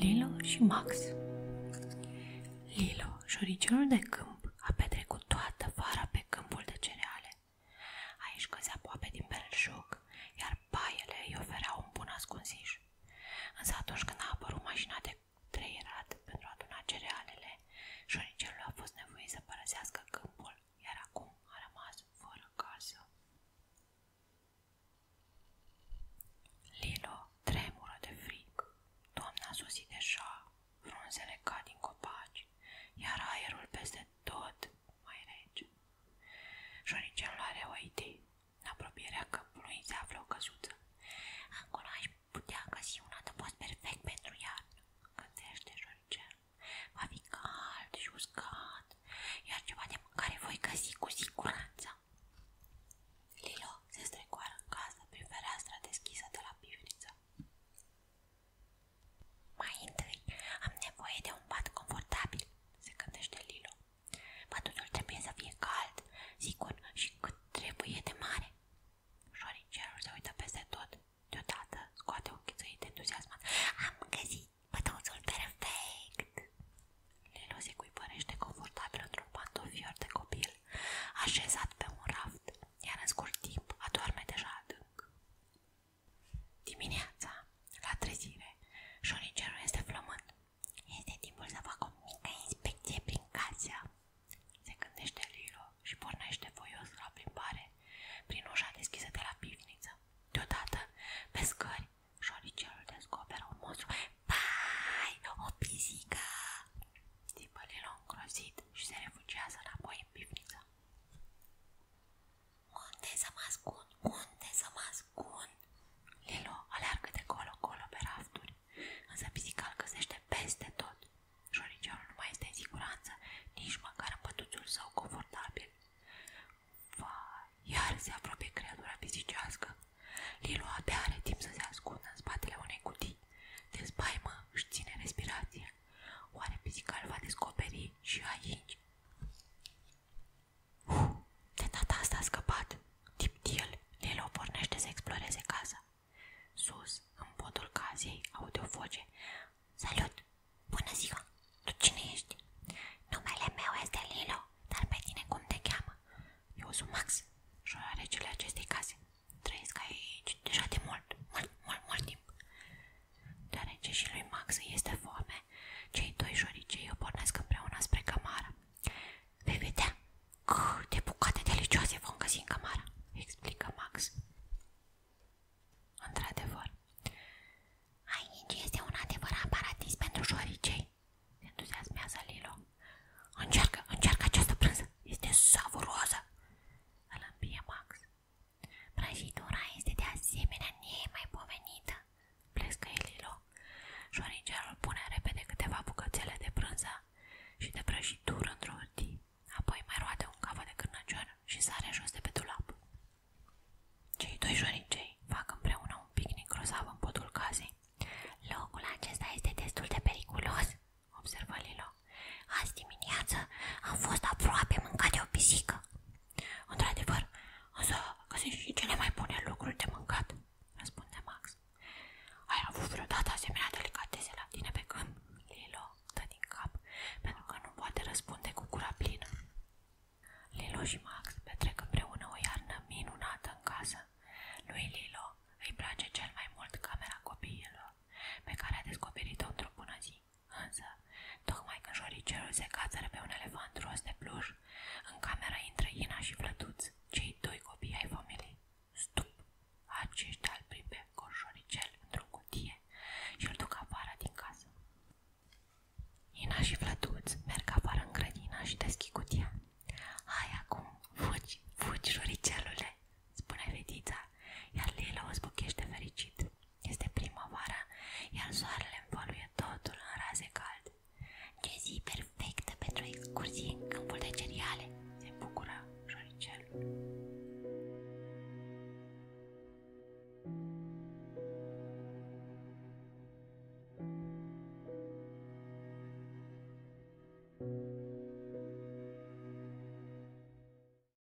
Lilo și Max Lilo, șoricelul de câmp, a petrecut toată vara pe câmpul de cereale. Aici căzea aproape din belșug, iar paiele îi oferea un bun ascunziș. Însă atunci când a apărut mașina de trăierat pentru a aduna cerealele, șoricelul a fost nevoit să părăsească câmpul, iar acum a rămas fără casă. Lilo tremură de frig. Toamna a sosit deja, frunzele cad din copaci, iar aerul peste tot mai rece. Șoricelul are o idee. În apropierea câmpului se află o căsuță. Acolo aș Putea găsi un adăpost perfect pentru iarnă, gândește Georgian. Va fi cald și uscat, iar ceva de mâncare voi găsi cu siguranță. Lilo se strecoară în casă prin fereastra deschisă de la pivniță. Mai întâi am nevoie de un pat confortabil, se gândește Lilo. Pătutul trebuie să fie cald, sigur și cât trebuie de mare. Șoricelul se uită peste tot. Deodată scoate un chițăit entuziasmat. Am găsit pătăuțul perfect! Lilo se cuipărește confortabil într-un pantofior de copil, așezat pe un raft, iar în scurt timp adorme deja adânc. Dimineața, la trezire, șoricelul este flământ. Este timpul să fac o inspecție prin casă. Se gândește Lilo și pornește voios la plimbare prin ușa deschisă de la pivniță. Deodată, pe scări, șoricelul descoperă un monstru. Pai, o pisică! Tipă Lilo îngrozit și se refugiază înapoi în pivniță. Unde să mă ascund? Unde să mă ascund? Lilo aleargă de colo-colo pe rafturi însă pisica îl găsește peste tot. Șoriceanul nu mai este în siguranță, nici măcar în pătuțul său confortabil. Va, iar se apropie creatura pisicească. Lilu abia are timp să se ascundă în spatele unei cutii. De spaimă își ține respirația. Oare pisica îl va descoperi și aici? Uh, de data asta a scăpat. Tiptil, Lilo pornește să exploreze casa. Sus, în podul casei, aude o voce. Salut! Bună ziua! Tu cine ești? Numele meu este Lilo, dar pe tine cum te cheamă? Eu sunt Max, șoarecele acestei case. Trăiesc aici deja de mult, mult, mult, mult timp. Deoarece și lui Max este foame, lume. Cei doi joricei o pornesc împreună spre cămară. Vei vedea de bucate delicioase vom găsi în camara. explică Max. Într-adevăr, aici este un adevărat paradis pentru joricei, se entuziasmează Lilo. Încearcă, încearcă această prânză, este savuroasă, îl Max. Prăjitura este de asemenea nemaipomenită, noaptea. Plescăi Lilo. Șoringerul pune repede câteva bucățele de prânză și de prăjitură într-o hârtie. Apoi mai roade un cavă de cârnăcior și sare jos de pe dulap. Cei doi șorincei fac împreună un picnic grozav în podul casei. Locul acesta este destul de periculos, observă Lilo. Azi dimineață am fost aproape mâncat de o pisică. Într-adevăr, însă găsești și cele mai bune lucruri de mâncat, răspunde Max. Ai avut vreodată asemenea delicatese la tine pe când? Lilo dă din cap, pentru că nu poate răspunde cu gura plină. Lilo și Max petrec împreună o iarnă minunată în casă. Lui Lilo îi place cel mai mult camera copiilor, pe care a descoperit-o într-o bună zi. Însă, tocmai când joricelul se cațără pe un elefant ros de pluș, în camera intră Ina și Flătuț, cei doi copii ai familiei. Stup! Aceștia îl pribe cu într-o cutie și îl duc afară din casă. Ina și Flătuț merg afară în grădină și deschid cutia. Hai acum, fugi, fugi, joricelule! spune fetița, iar Lila o zbuchește fericit. Este primăvara, iar soarele învăluie totul în raze calde. Ce zi perfectă pentru excursii în câmpul de cereale, se bucura șoricelul.